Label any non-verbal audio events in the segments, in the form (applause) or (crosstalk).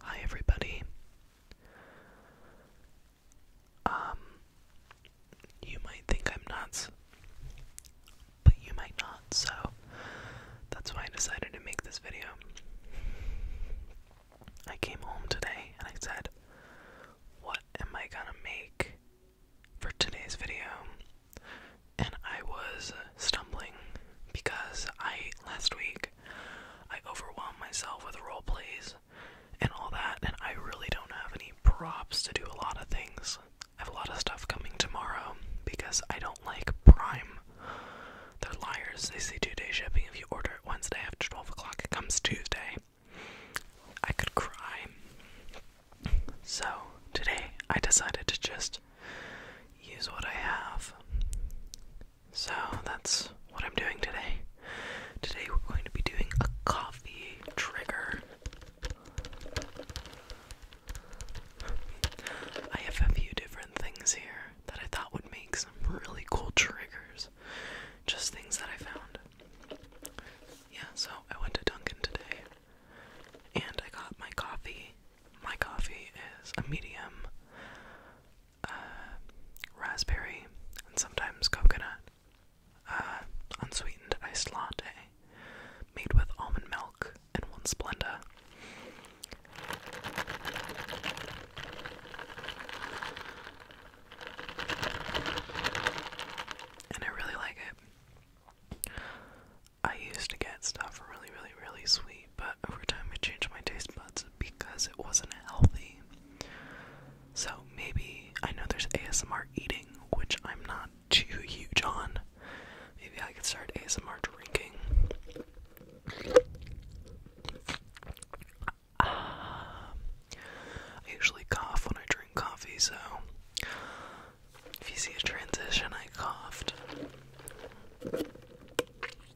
Hi everybody. Um, you might think I'm nuts, but you might not, so that's why I decided to make this video. I came home today and I said, What am I gonna make for today's video? And I was stumbling because I ate last week I overwhelm myself with role plays and all that, and I really don't have any props to do a lot of things. I have a lot of stuff coming tomorrow because I don't like Prime. They're liars. They say two day shipping. If you order it Wednesday after 12 o'clock, it comes Tuesday. I could cry. So, today I decided to just use what I have so that's what I'm doing today. Today we're going to be doing a coffee trigger. I have a few different things here that I thought would make some really cool triggers. Just things that I found. Yeah, so I went to Dunkin' today and I got my coffee. My coffee is a medium uh, raspberry, and sometimes coconut. Uh, unsweetened iced latte made with almond milk and one Splenda. And I really like it. I used to get stuff really, really, really sweet but over time I changed my taste buds because it wasn't healthy. So maybe I know there's ASMR eating, which I'm not too huge on. Maybe I could start ASMR drinking. I usually cough when I drink coffee, so if you see a transition, I coughed.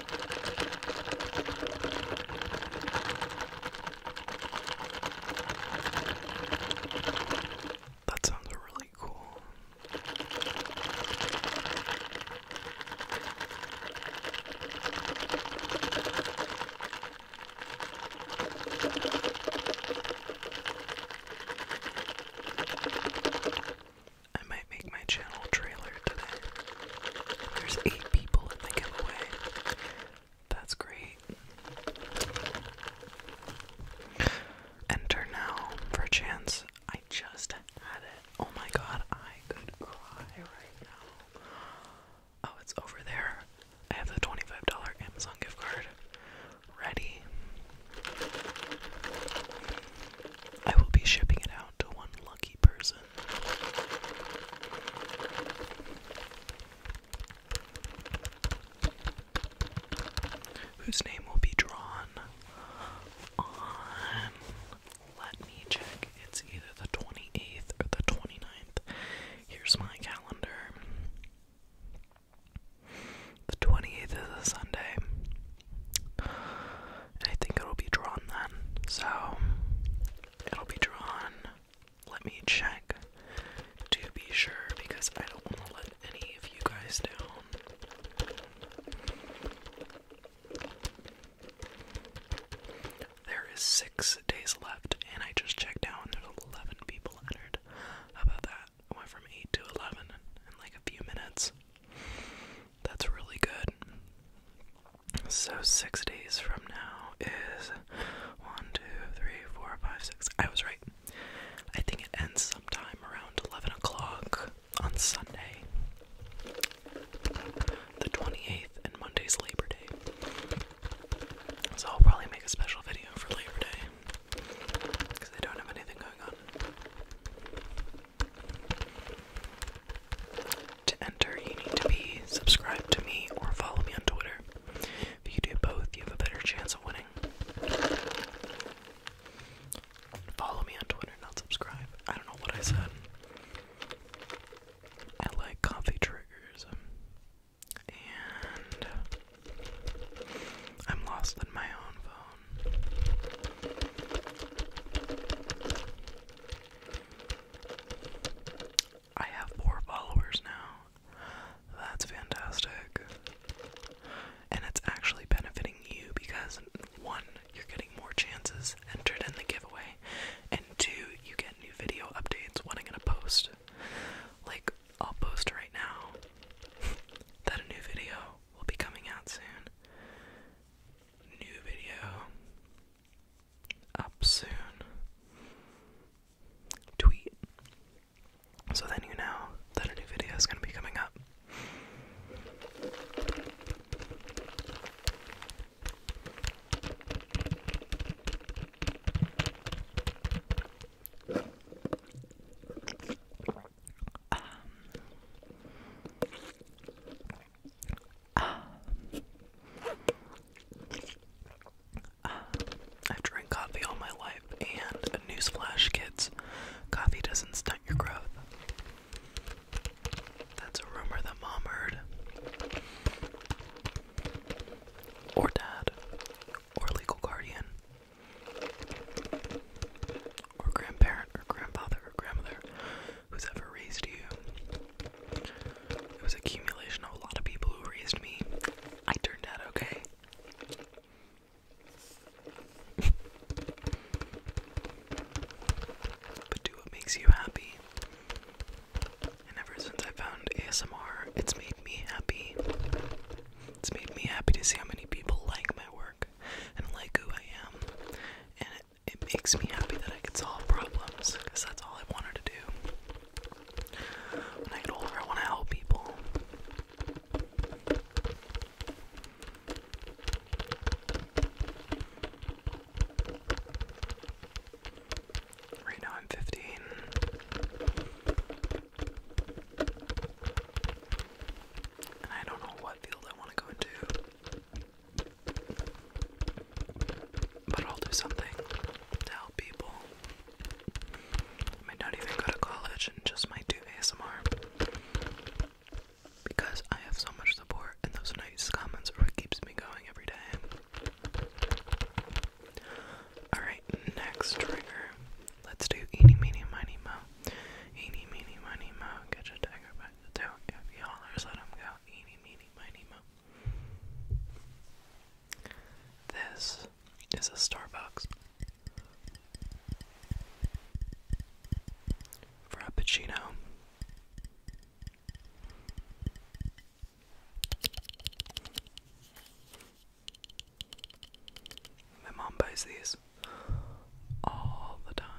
That sounds really cool. I might make my channel trailer today. There's eight people in the giveaway. That's great. Enter now for a chance. I just had it. Oh my god, I could cry right now. Oh, it's over there. I have the $25 Amazon gift card ready. I will be shipping it out to one lucky person whose name will be drawn on. Let me check. It's either the 28th or the 29th. Here's my calendar. The 28th is a Sunday. I think it'll be drawn then. So it'll be drawn. Let me check to be sure because I don't want to let any of you guys down. There is six days left, and I just checked out, there's 11 people entered. about that? I went from 8 to 11 in like a few minutes. That's really good. So six days from now is one, two, three, four, five, six. I was right. I think it ends sometime around eleven o'clock on Sunday, the twenty eighth, and Monday's Labor Day. So I'll probably make a special video for Labor Day because I don't have anything going on. To enter, you need to be subscribed to me or follow me on Twitter. If you do both, you have a better chance of winning. Follow me on Twitter, not subscribe. I don't know what I said. I like coffee triggers. Um, and I'm lost in my own phone. I have four followers now. That's fantastic. And it's actually benefiting you because one, you're getting more chances entered in the giveaway, and two, you get new video updates when I'm gonna post. Like, I'll post right now (laughs) that a new video will be coming out soon. New video up soon. Tweet. So then you know that a new video is going to be coming up. I've drank coffee all my life, and a newsflash, kids, coffee doesn't stunt your growth. That's a rumor that mom heard. Or dad. Or legal guardian. Or grandparent, or grandfather, or grandmother who's ever raised you. It was accumulation of a lot of people who raised me. I turned out okay. (laughs) but do what makes you happy. And ever since I found ASMR, it's made me happy. It's made me happy to see how many people like my work and like who I am it makes me happy that I can solve problems because that's all I wanted to do. When I get older, I want to help people. Right now, I'm 15. And I don't know what field I want to go into. But I'll do something to help people. I might not even go to college and just might do ASMR. Because I have so much support and those nice comments are what keeps me going every day. Alright, next trigger. Let's do eeny, meeny, miny, mo. Eeny, meeny, miny, mo. Get your tiger back to toe if y'all let him go. Eeny, this is a Starbucks. Frappuccino. My mom buys these all the time.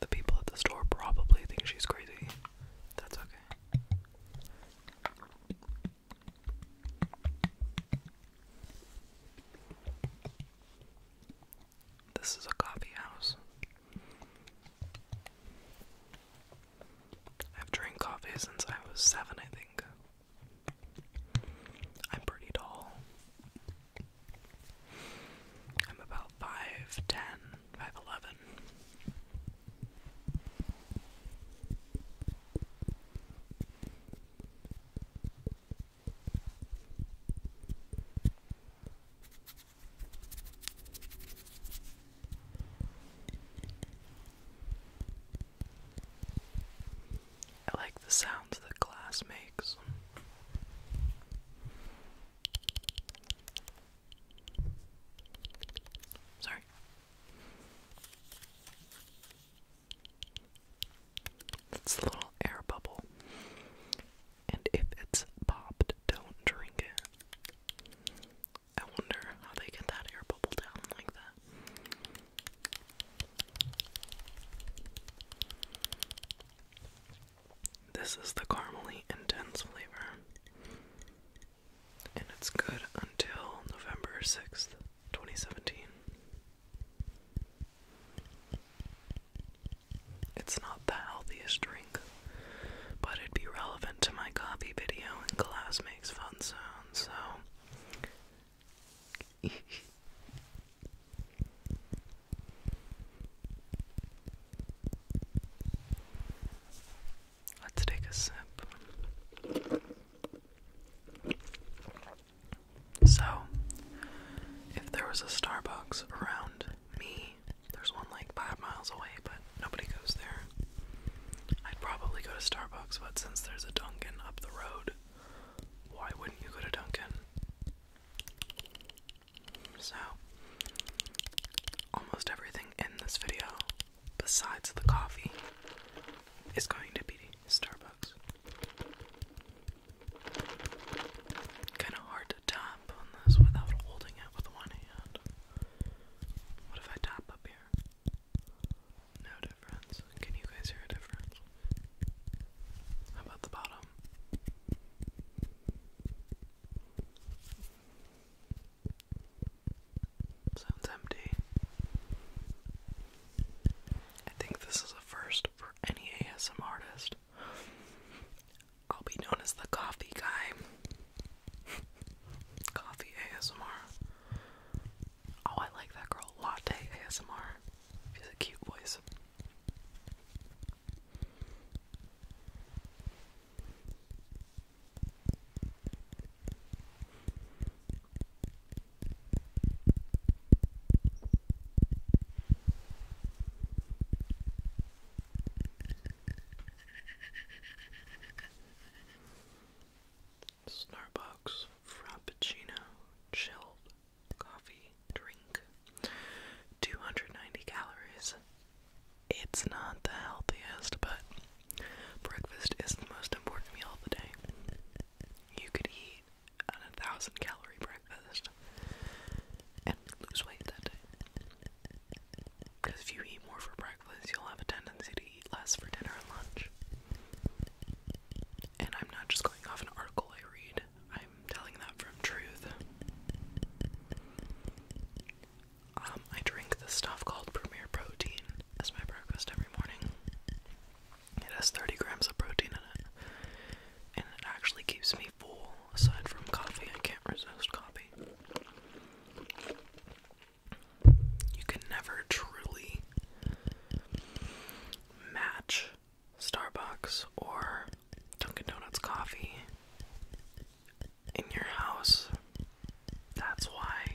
The people at the store probably think she's crazy. That's okay. This is a coffee house. I've drank coffee since I was seven, I think. I'm pretty tall. I'm about 5'10, 5'11. I like the sounds that glass makes. Sorry. It's a little air bubble. And if it's popped, don't drink it. I wonder how they get that air bubble down like that. This is the caramely intense flavor, and it's good until November 6th, 2017. It's not the healthiest drink, but it'd be relevant to my coffee video, and glass makes fun sounds, so. (laughs) Let's take a sip. So, if there was a Starbucks around me, there's one like five miles away, but nobody goes there. I'd probably go to Starbucks, but since there's a Dunkin' up the road, why wouldn't you go to Dunkin'? So, almost everything in this video, besides the coffee, is going to be Starbucks. Kind of hard to tap on this without holding it with one hand. What if I tap up here? No difference. Can you guys hear a difference? How about the bottom? Sounds empty. I think this is a first for any ASMR artist. I'll be known as the coffee guy. (laughs) coffee ASMR. Oh, I like that girl. Latte ASMR. She has a cute voice. Starbucks Frappuccino Chilled coffee drink. 290 calories. It's not the healthiest, but breakfast is the most important meal of the day. You could eat a 1000 calorie breakfast and lose weight that day. Because if you eat more for breakfast, you'll have a tendency to eat less for dinner and lunch. And I'm not just going off an article I read. I'm telling that from truth. Um, I drink this stuff called Premier Protein as my breakfast every morning. It has 30 grams of protein in it, and it actually keeps me full. Aside from coffee, I can't resist coffee. You can never truly match Starbucks or Dunkin' Donuts coffee in your house. That's why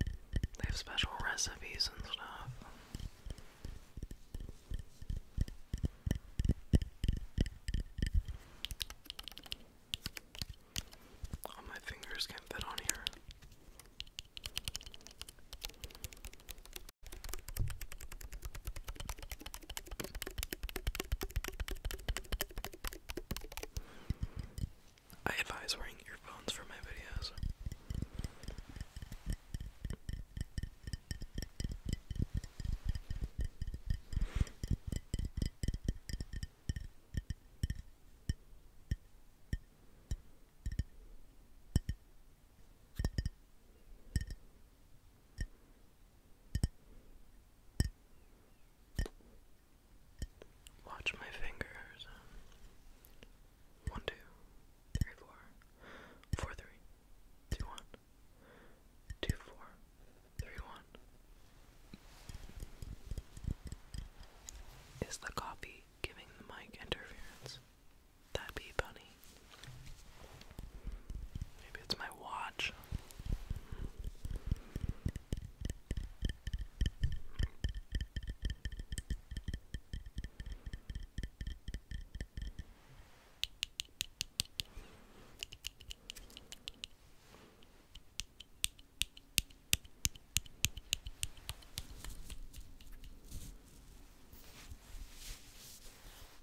they have special recipes and stuff. All my fingers can fit on here. I advise wearing earphones for my videos. Watch my fingers. One, two, three, four, four, three, two, one, two, four, three, one. Is the coffee giving the mic interference? That'd be funny. Maybe it's my watch.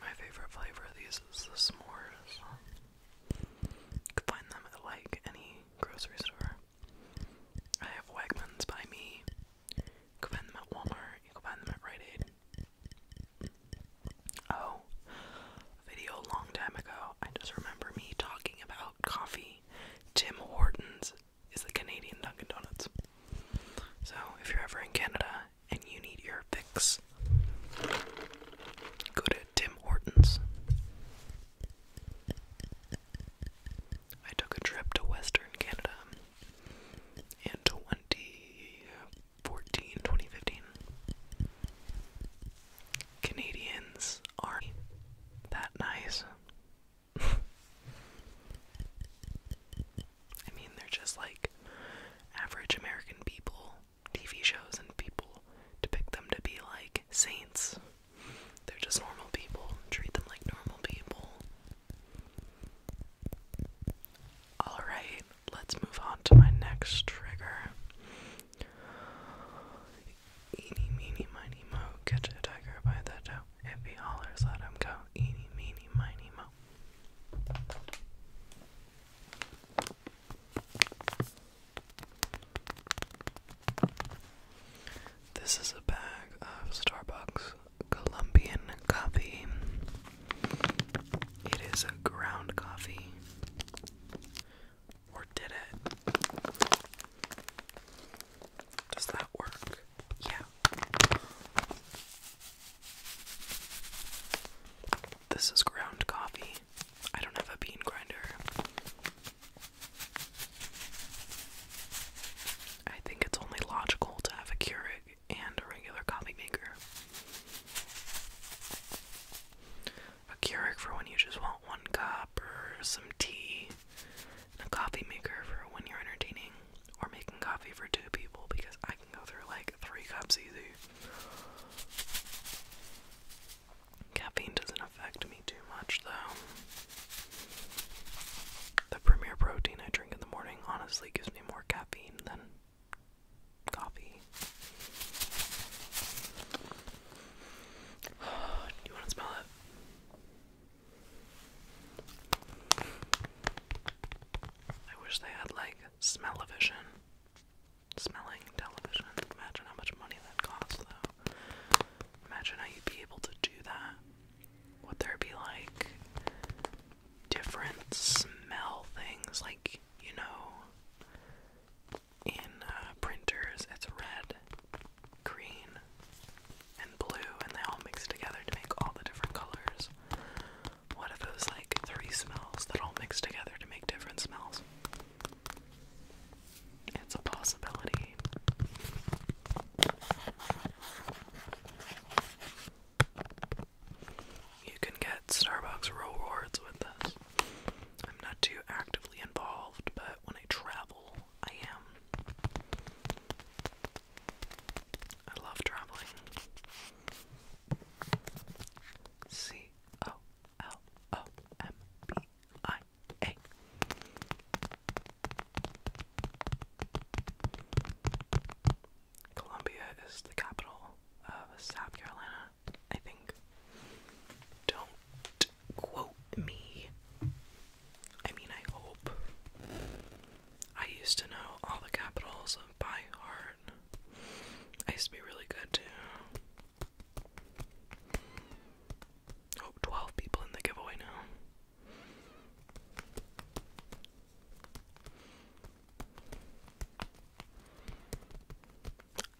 My favorite flavor of these is the s'mores. You can find them at like any grocery store. I have Wegmans by me. You can find them at Walmart. You can find them at Rite Aid. Oh, video a long time ago. I just remember me talking about coffee. Tim Hortons is the Canadian Dunkin' Donuts. So if you're ever in Canada and you need your fix, go to Tim Hortons. I took a trip to Western Canada in 2014, Canadians are that nice. (laughs) I mean, they're just like average American people, TV shows, and people depict them to be like saints. They're just normal people, treat them like normal people. Alright, let's move on to my next trigger. Eeny, meeny, miny, mo, catch a tiger by the toe. If he hollers, let him go. Eeny, meeny, miny, mo. This is a bag of Starbucks Colombian coffee. It is a ground coffee. Or did it? Does that work? Yeah. This is ground coffee. I don't have a bean grinder. I think it's only logical to have a Keurig and a regular coffee maker. A Keurig for when you just want one cup or some tea, and a coffee maker for when you're entertaining or making coffee for two people because I can go through like three cups easy. Caffeine doesn't affect me too much though. The premier protein I drink in the morning honestly gives me more caffeine than coffee. (sighs) you want to smell it? I wish they had like smell-o-vision. Smelling television. Imagine how much money that costs, though. Imagine how you'd be able to do that. Would there be like different smell things, like you know, in uh, printers it's red, green, and blue, and they all mix together to make all the different colors. What if it was like three smells that all mix together to make different smells? It's a possibility. You can get Starbucks rewards with this. I'm not too actively involved, but when I travel, I am. I love traveling. C O L O M B I A. Columbia is the capital of South Carolina, I think. Don't quote me. I mean, I hope. I used to know all the capitals by heart. I used to be really good too. Oh, people in the giveaway now.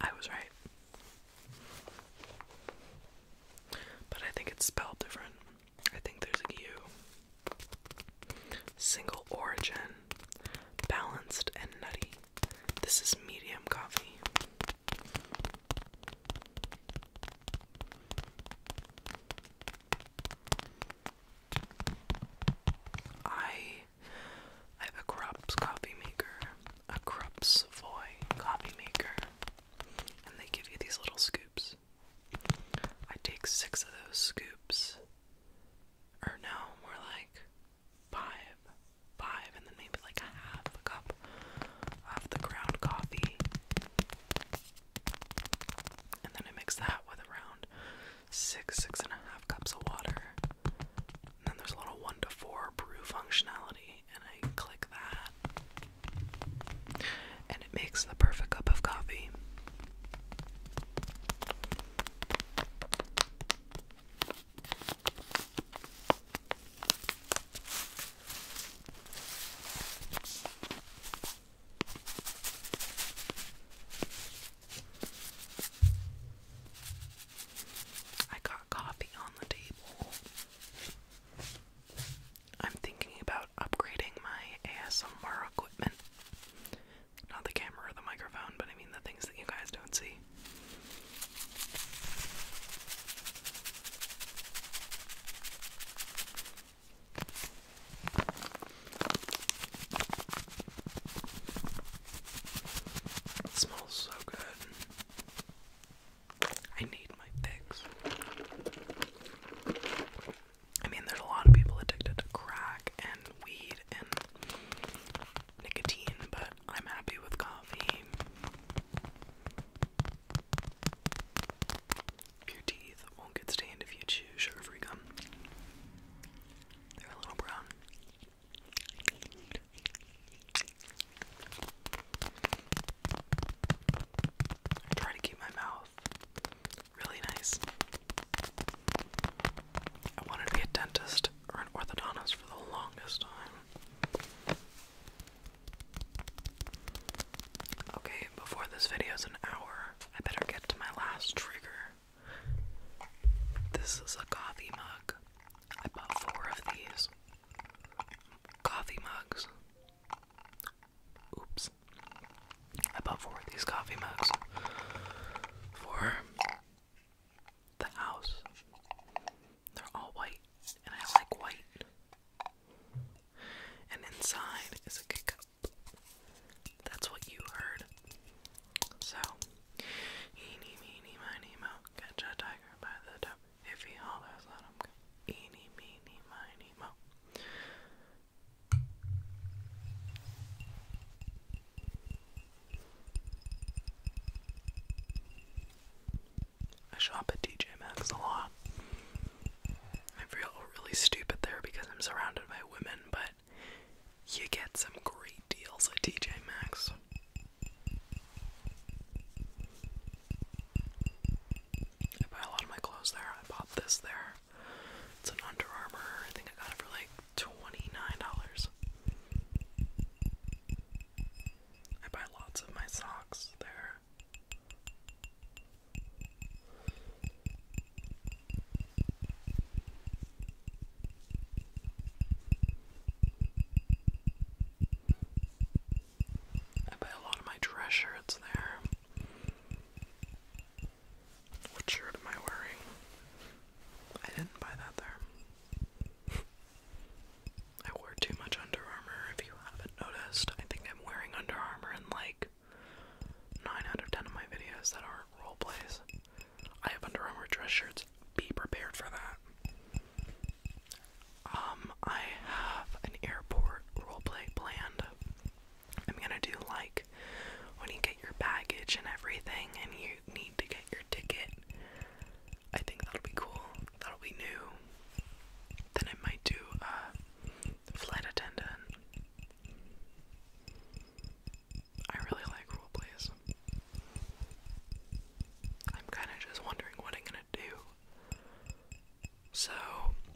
I was right. But I think it's spelled different. I think there's a U Single origin, balanced and nutty. This is medium coffee. I I have a Krups coffee maker, a Krups Savoy coffee maker, and they give you these little scoops. I take six of those scoops or no, more like five, five, and then maybe like a half a cup of the ground coffee. And then I mix that with around six, six and a half cups of water. And then there's a little one to four brew functionality, and I click that. And it makes the perfect cup of coffee. I got coffee on the table. I'm thinking about upgrading my ASMR equipment. Not the camera or the microphone, but I mean the things that you guys don't see. smells so good. I need my fix. I mean, there's a lot of people addicted to crack and weed and nicotine, but I'm happy with coffee. Your teeth won't get stained if you chew sugar gum. They're a little brown. I try to keep my mouth really nice. I wanted to be a dentist or an orthodontist for the longest time. Okay, before this video is an hour, I better get to my last trigger. This is a coffee mug. I bought four of these coffee mugs. Oops. I bought four of these coffee mugs for the house. They're all white, and I like white. And inside is a cup. That's what you heard. So, eeny, meeny, miny, mo, catch a tiger by the toe. If he hollers, let him go. Eeny, meeny, miny, mo. I shop at TJ Maxx a lot. I feel really stupid there because I'm surrounded by women, but you get some great deals at TJ Maxx. I buy a lot of my clothes there. I bought this there. It's an Under Armour. I think I got it for like $29. I buy lots of my socks there. I buy a lot of my dress shirts there. What shirt am I wearing? I didn't buy that there. (laughs) I wear too much Under Armour if you haven't noticed. I think I'm wearing Under Armour in like 9 out of 10 of my videos that are role plays. I have Under Armour dress shirts. Be prepared for that. Um, I have an airport roleplay planned. I'm gonna do like when you get your baggage and everything and you need to get your ticket. I think that'll be cool. That'll be new. Then I might do a flight attendant. I really like role plays. I'm kind of just wondering what I'm gonna do. So,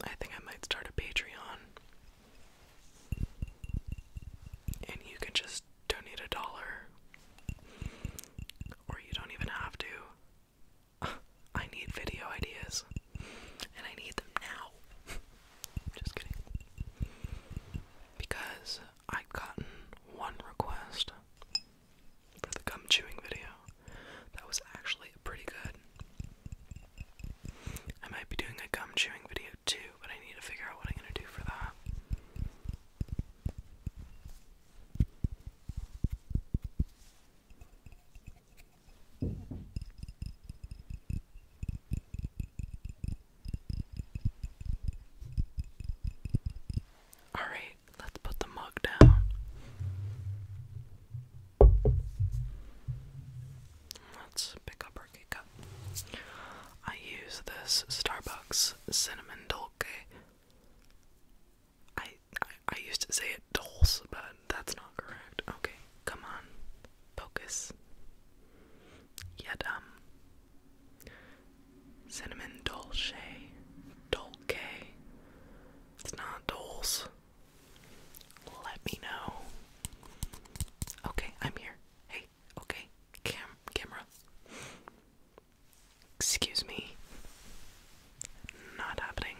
I think I might start a Patreon and you can just donate a dollar, or you don't even have to. (laughs) I need video ideas, and I need them now. (laughs) Just kidding. Because I've gotten one request for the gum chewing video that was actually pretty good. I might be doing a gum chewing video too, but I need to figure out what I'm going to do for that. Alright, let's put the mug down. Let's pick up our I use this Starbucks cinnamon dulce. I, I used to say it dulce, but that's not correct. Okay, come on, focus. Yet um, cinnamon dulce, dulce. It's not dulce. Let me know. Okay, I'm here. Hey, okay, cam camera. Excuse me. Not happening.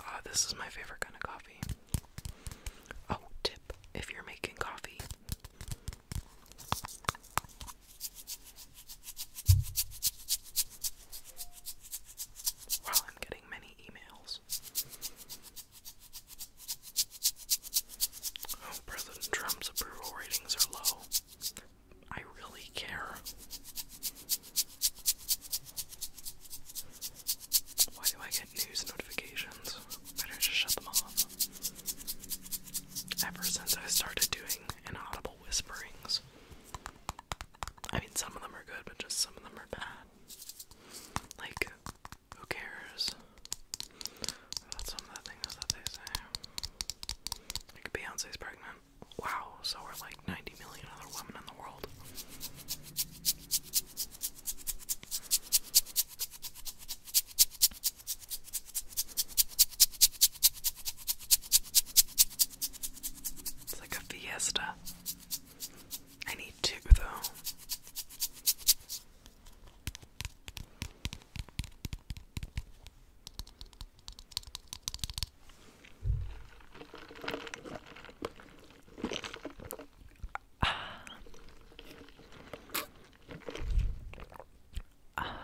Ah, this is my favorite kind of coffee. Oh, tip if you're making coffee. While I'm getting many emails. Oh, President Trump's approval ratings are low. I really care. Why do I get news notifications? Better just shut them off. Ever since I started doing inaudible whisperings, I mean, some of them are good, but just some of them are bad. Like, who cares? That's some of the things that they say. Like, Beyonce's pregnant. Wow, so are like 90 million other women in the world. It's like a fiesta. I need two, though. Ah. Ah.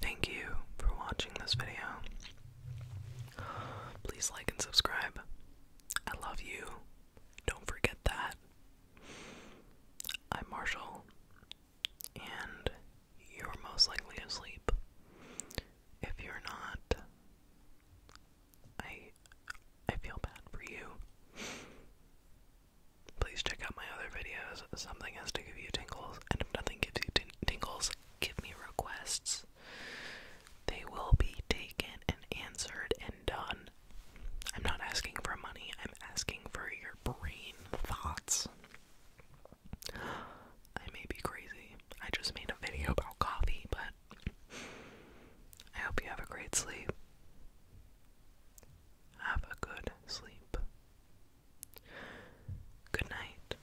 Thank you for watching this video. Please like and subscribe. I love you. Don't forget that. I'm Marshall, and you're most likely asleep. If you're not, I I feel bad for you. Please check out my other videos. Something has to give you tingles, and if nothing gives you tingles, give me requests. They will be taken and answered and done. I'm not asking for money, I'm asking for your brain thoughts. I may be crazy. I just made a video about coffee, but I hope you have a great sleep. Have a good sleep. Good night.